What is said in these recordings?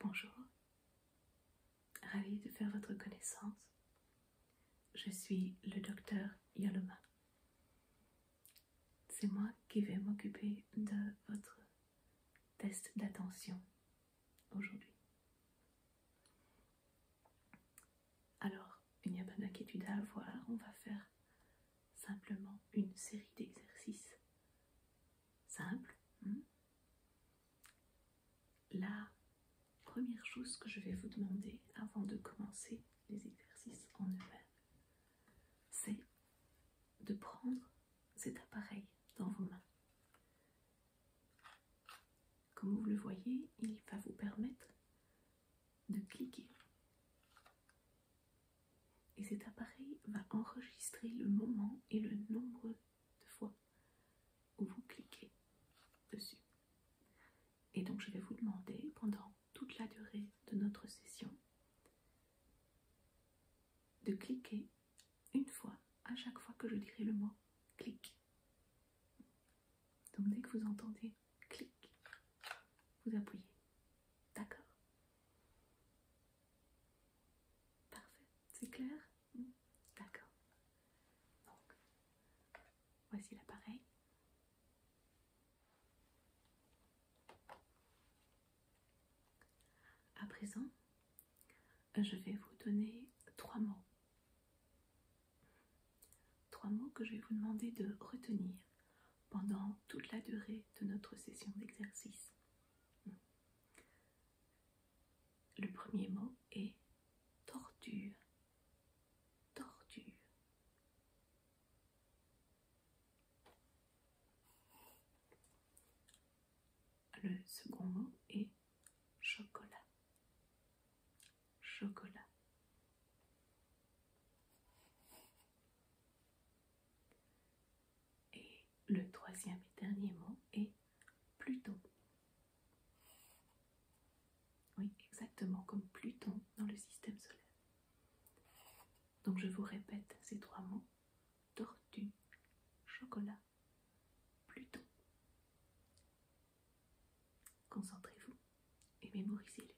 Bonjour, ravi de faire votre connaissance. Je suis le docteur Yaloma. C'est moi qui vais m'occuper de votre test d'attention aujourd'hui. Alors, il n'y a pas d'inquiétude à avoir, on va faire simplement une série d'exercices simples. Hein. La première chose que je vais vous demander avant de commencer les exercices en eux-mêmes, c'est de prendre cet appareil dans vos mains. Comme vous le voyez, il va vous permettre de cliquer et cet appareil va enregistrer le moment et le nombre de fois où vous cliquez dessus. Et donc je vais vous demander pendant toute la durée de notre session de cliquer une fois à chaque fois que je dirai le mot clic. Donc dès que vous entendez clic, vous appuyez. D'accord. Parfait. C'est clair mm. D'accord. Donc, voici l'appareil. À présent, je vais vous donner trois mots. Trois mots que je vais vous demander de retenir pendant toute la durée de notre session d'exercice. Le premier mot est tortue, tortue. Le second mot est chocolat, chocolat. Et le troisième et dernier mot est Pluton. Oui, exactement comme Pluton dans le système solaire. Donc je vous répète ces trois mots. Tortue, chocolat, Pluton. Concentrez-vous et mémorisez-les.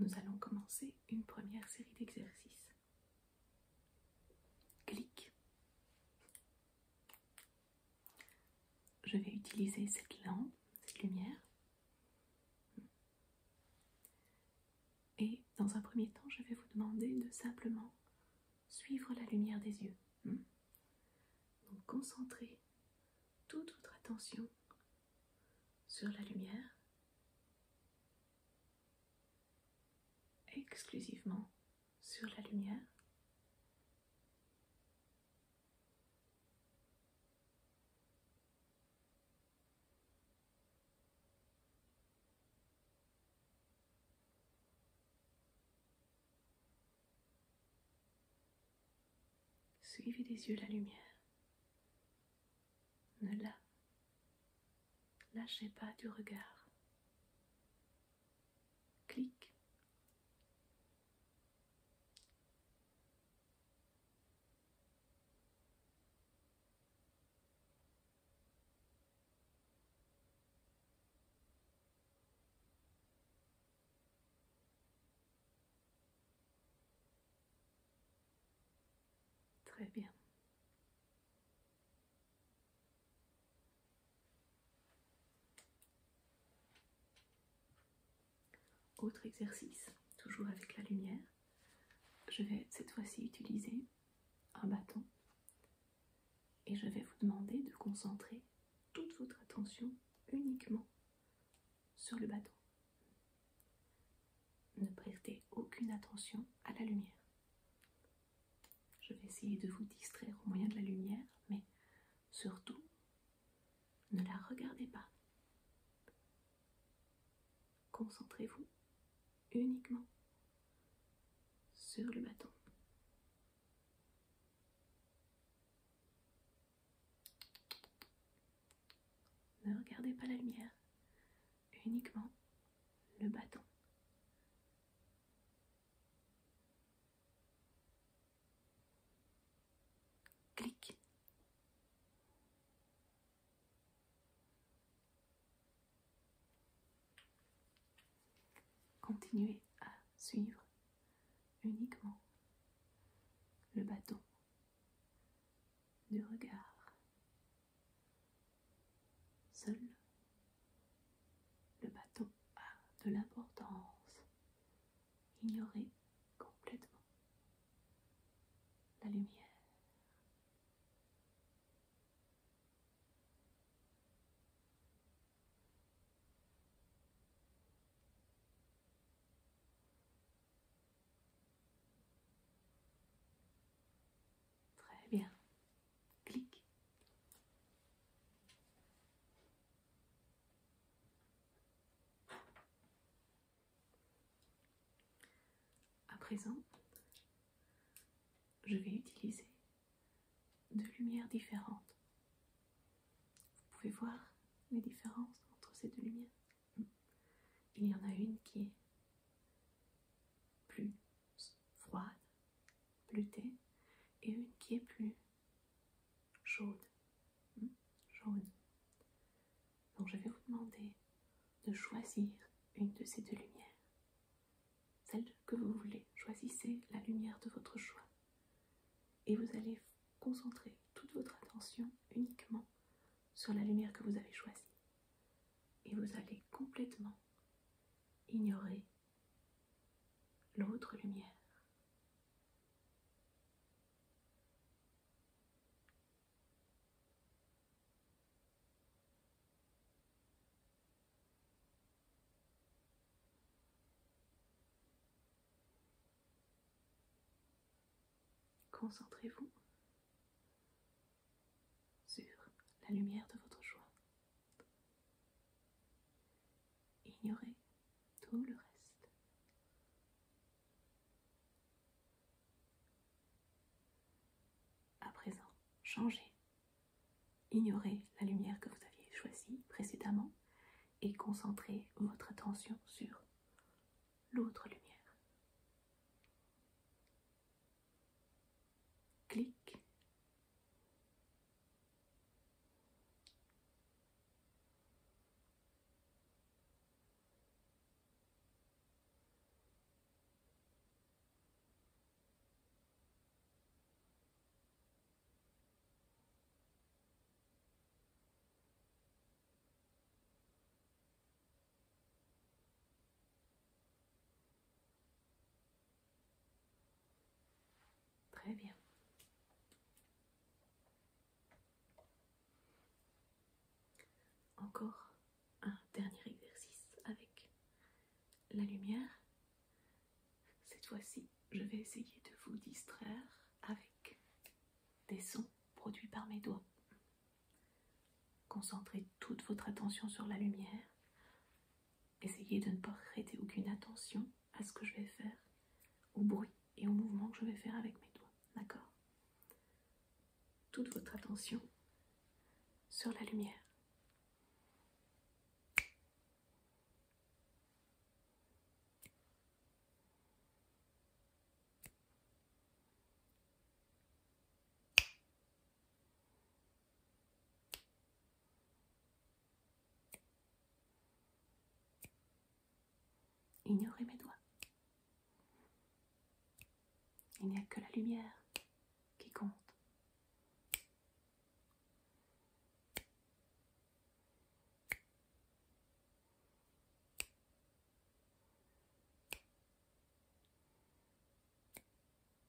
Nous allons commencer une première série d'exercices. Clique. Je vais utiliser cette lampe, cette lumière. Et dans un premier temps, je vais vous demander de simplement suivre la lumière des yeux. Hmm. Donc concentrez toute votre attention sur la lumière exclusivement sur la lumière. Suivez des yeux la lumière. Ne la lâchez pas du regard. Clic. Très bien. Autre exercice, toujours avec la lumière, je vais cette fois-ci utiliser un bâton et je vais vous demander de concentrer toute votre attention uniquement sur le bâton. Ne prêtez aucune attention à la lumière. Je vais essayer de vous distraire au moyen de la lumière, mais surtout, ne la regardez pas. Concentrez-vous uniquement sur le bâton. Ne regardez pas la lumière, uniquement le bâton. Clique Continuez à suivre uniquement le bâton du regard. Seul le bateau a de l'importance Ignorez complètement. La lumière. Très bien. Clique À présent, je vais utiliser deux lumières différentes. Vous pouvez voir les différences entre ces deux lumières. Il y en a une qui est plus froide, bleutée, et une qui est plus chaude. Jaune. Hmm, Donc je vais vous demander de choisir une de ces deux lumières. Celle que vous voulez. Choisissez la lumière de votre choix. Et vous allez concentrer toute votre attention uniquement sur la lumière que vous avez choisie. Et vous allez complètement ignorer l'autre lumière. Concentrez-vous sur la lumière de votre joie. Ignorez tout le reste. À présent, changez. Ignorez la lumière que vous aviez choisie précédemment et concentrez votre attention sur l'autre lumière. Clique. Très bien. Encore un dernier exercice avec la lumière. Cette fois-ci, je vais essayer de vous distraire avec des sons produits par mes doigts. Concentrez toute votre attention sur la lumière Essayez de ne pas prêter aucune attention à ce que je vais faire, au bruit et au mouvement que je vais faire avec mes doigts. D'accord Toute votre attention sur la lumière. Ignorez mes doigts. Il n'y a que la lumière qui compte.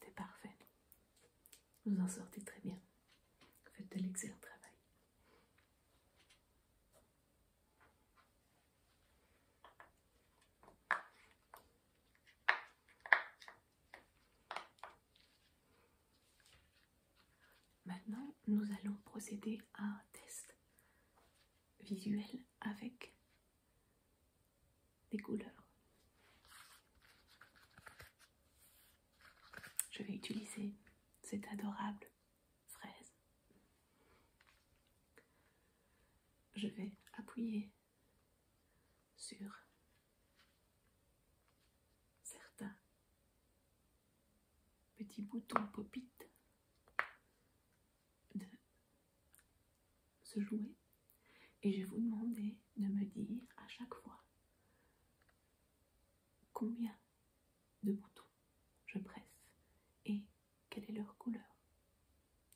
C'est parfait. Vous en sortez très bien. faites de l'excellent travail. Maintenant, nous allons procéder à un test visuel avec des couleurs. Je vais utiliser cette adorable fraise. Je vais appuyer sur certains petits boutons pop de se jouer et je vais vous demander de me dire à chaque fois combien de boutons je presse et quelle est leur couleur.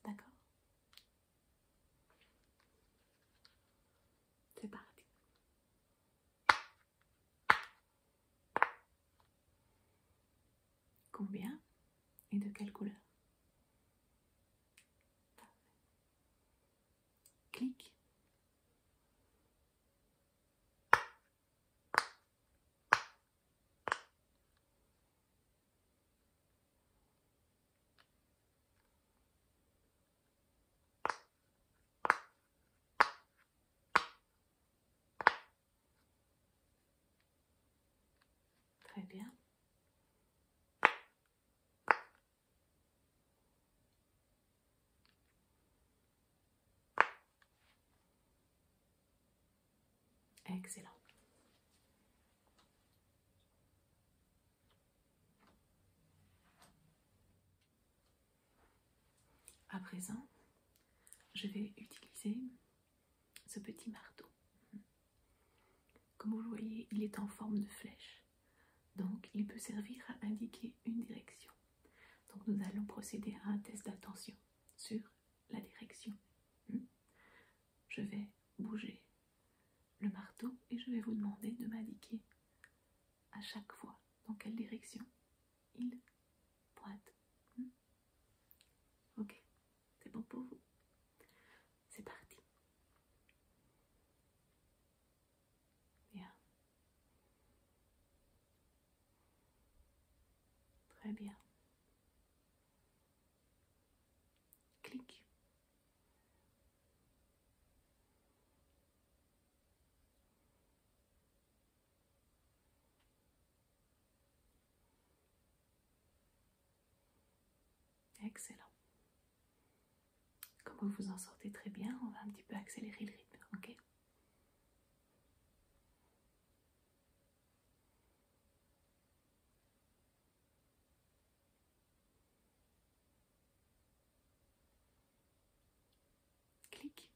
D'accord C'est parti. Combien et de quelle couleur Clique. Très bien. Excellent. À présent, je vais utiliser ce petit marteau. Comme vous le voyez, il est en forme de flèche, donc il peut servir à indiquer une direction. Donc nous allons procéder à un test d'attention sur la direction. Hmm. Je vais bouger le marteau et je vais vous demander de m'indiquer à chaque fois dans quelle direction il pointe. Hmm. Ok, c'est bon pour vous. C'est parti. Bien. Très bien. Clique. Excellent. Comme vous vous en sortez très bien, on va un petit peu accélérer le rythme, ok Clic.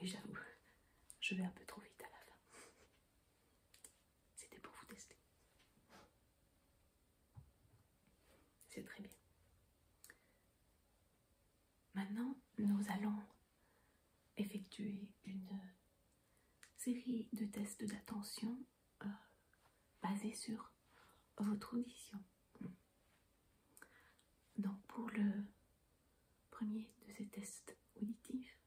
Oui, j'avoue, je vais un peu trop vite à la fin. C'était pour vous tester. C'est très bien. Maintenant, nous allons effectuer une série de tests d'attention euh, basés sur votre audition. Donc pour le premier de ces tests auditifs,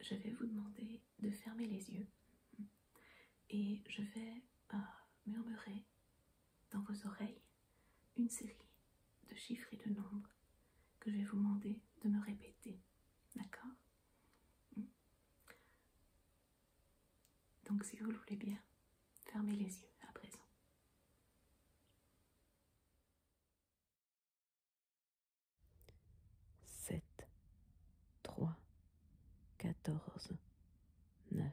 je vais vous demander de fermer les yeux et je vais euh, murmurer dans vos oreilles une série de chiffres et de nombres que je vais vous demander de me répéter. D'accord hmm. Donc, si vous le voulez bien, fermez les yeux à présent. 7, 3, 14, 9.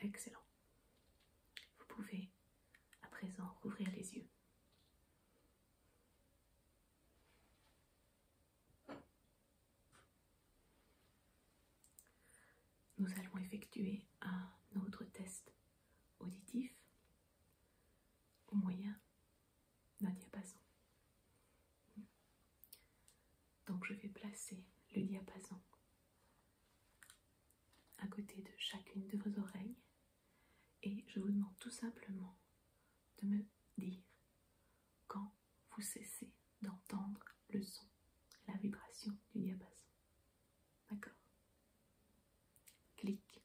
Excellent. Vous pouvez à présent rouvrir les yeux. Nous allons effectuer un autre test auditif au moyen d'un diapason. Donc je vais placer le diapason à côté de chacune de vos oreilles et je vous demande tout simplement de me dire quand vous cessez d'entendre le son, la vibration du diapason. D'accord Clique.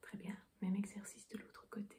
Très bien, même exercice de l'autre côté.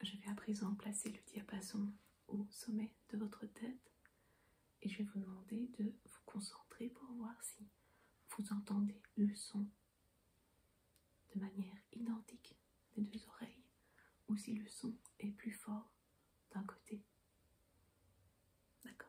Je vais à présent placer le diapason au sommet de votre tête et je vais vous demander de vous concentrer pour voir si vous entendez le son de manière identique des deux oreilles ou si le son est plus fort d'un côté. D'accord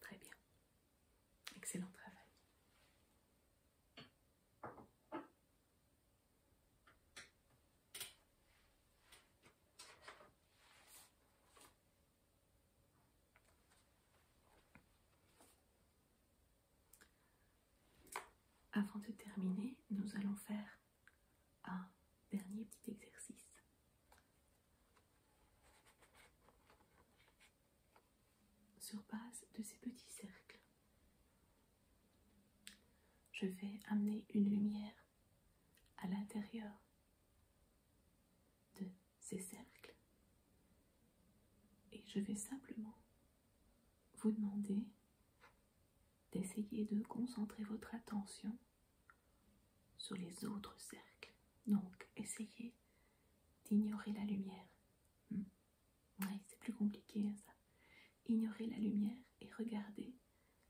Très bien. Excellent travail. Avant de terminer, nous allons faire un dernier petit exercice. Sur base de ces petits cercles, je vais amener une lumière à l'intérieur de ces cercles et je vais simplement vous demander d'essayer de concentrer votre attention sur les autres cercles. Donc, essayez d'ignorer la lumière. Hmm. Oui, c'est plus compliqué hein, ça. Ignorez la lumière et regardez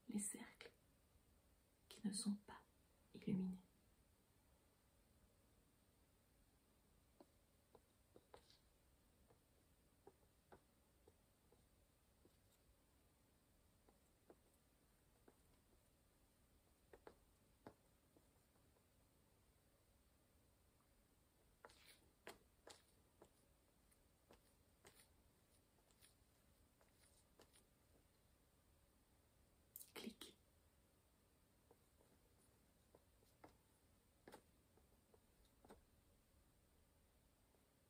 les cercles qui ne sont pas illuminés. Clique.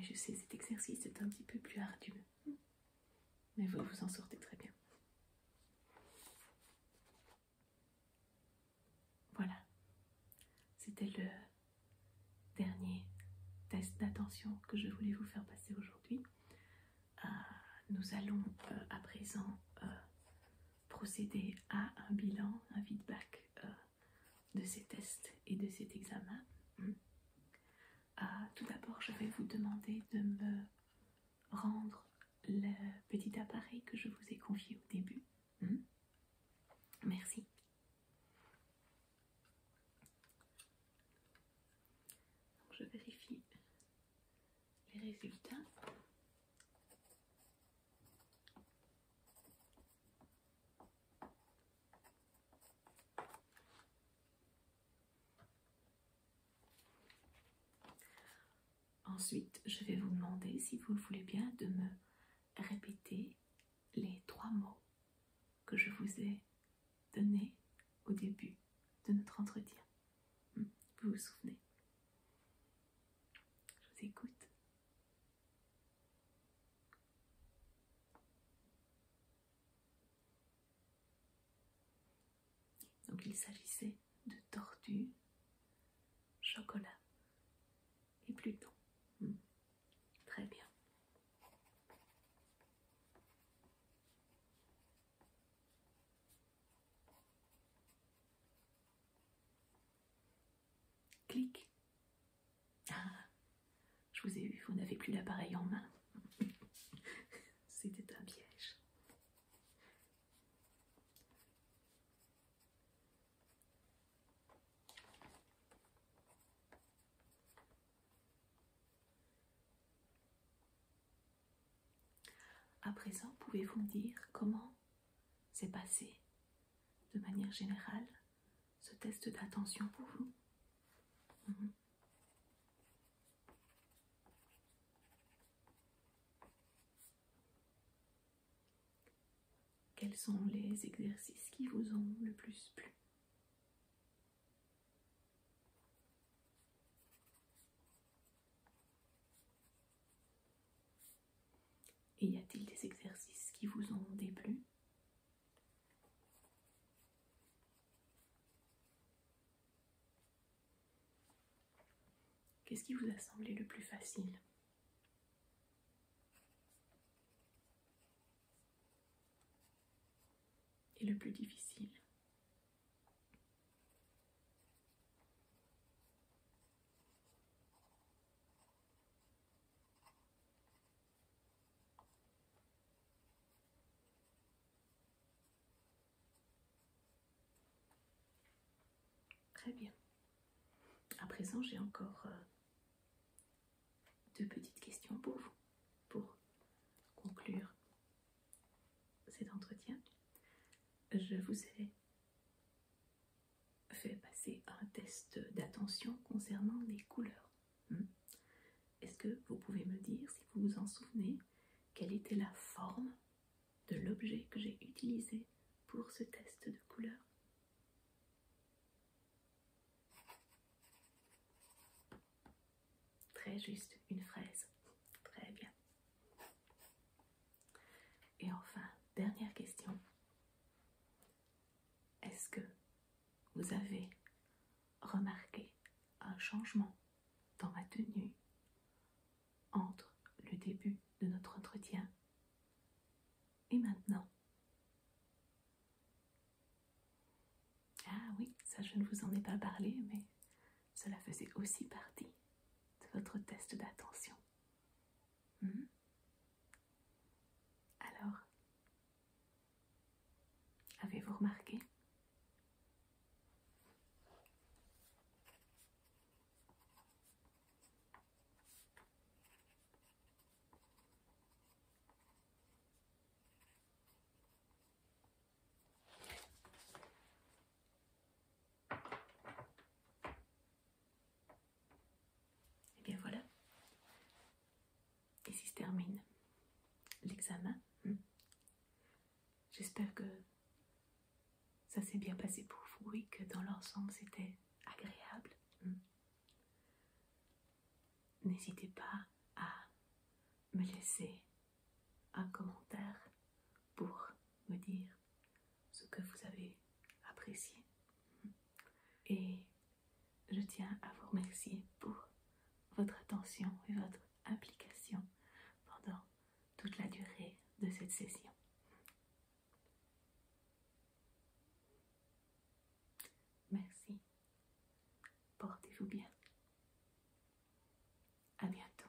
je sais, cet exercice est un petit peu plus ardu, mais vous vous en sortez très bien. Voilà, c'était le dernier test d'attention que je voulais vous faire passer aujourd'hui. Euh, nous allons euh, à présent euh, procéder à un bilan, un feedback de ces tests et de cet examen. Hmm. Euh, tout d'abord, je vais vous demander de me rendre le petit appareil que je vous ai confié au début. Hmm. Merci. je vérifie les résultats. Ensuite, je vais vous demander, si vous le voulez bien, de me répéter les trois mots que je vous ai donnés au début de notre entretien. Hmm, vous vous souvenez Je vous écoute. Donc il s'agissait de tortue, chocolat et Pluton. Hmm. Très bien. Clique ah, je vous ai eu, vous n'avez plus l'appareil en main. C'était un piège. À présent, pouvez-vous me dire comment c'est passé, de manière générale, ce test d'attention pour vous. Mhm. Quels sont les exercices qui vous ont le plus plu Et y a-t-il des exercices qui vous ont déplu Qu'est-ce qui vous a semblé le plus facile et le plus difficile Très bien. À présent, j'ai encore euh, deux petites questions pour vous, pour conclure cet entretien. Je vous ai fait passer un test d'attention concernant les couleurs. Hmm. Est-ce que vous pouvez me dire, si vous vous en souvenez, quelle était la forme de l'objet que j'ai utilisé pour ce test de couleur Très juste, une fraise. Très bien. Et enfin, dernière question. Est-ce que vous avez remarqué un changement dans ma tenue entre le début de notre entretien et maintenant Ah oui, ça je ne vous en ai pas parlé, mais cela faisait aussi partie de votre test d'attention. Hmm? Alors, Avez-vous remarqué et eh bien voilà. Ici se termine l'examen. Hmm, j'espère que ça s'est bien passé pour vous et que dans l'ensemble c'était agréable. Hmm. N'hésitez pas à me laisser un commentaire pour me dire ce que vous avez apprécié. Hmm. Et je tiens à vous remercier pour votre attention et votre implication pendant toute la durée de cette session. Merci. Portez-vous bien. À bientôt.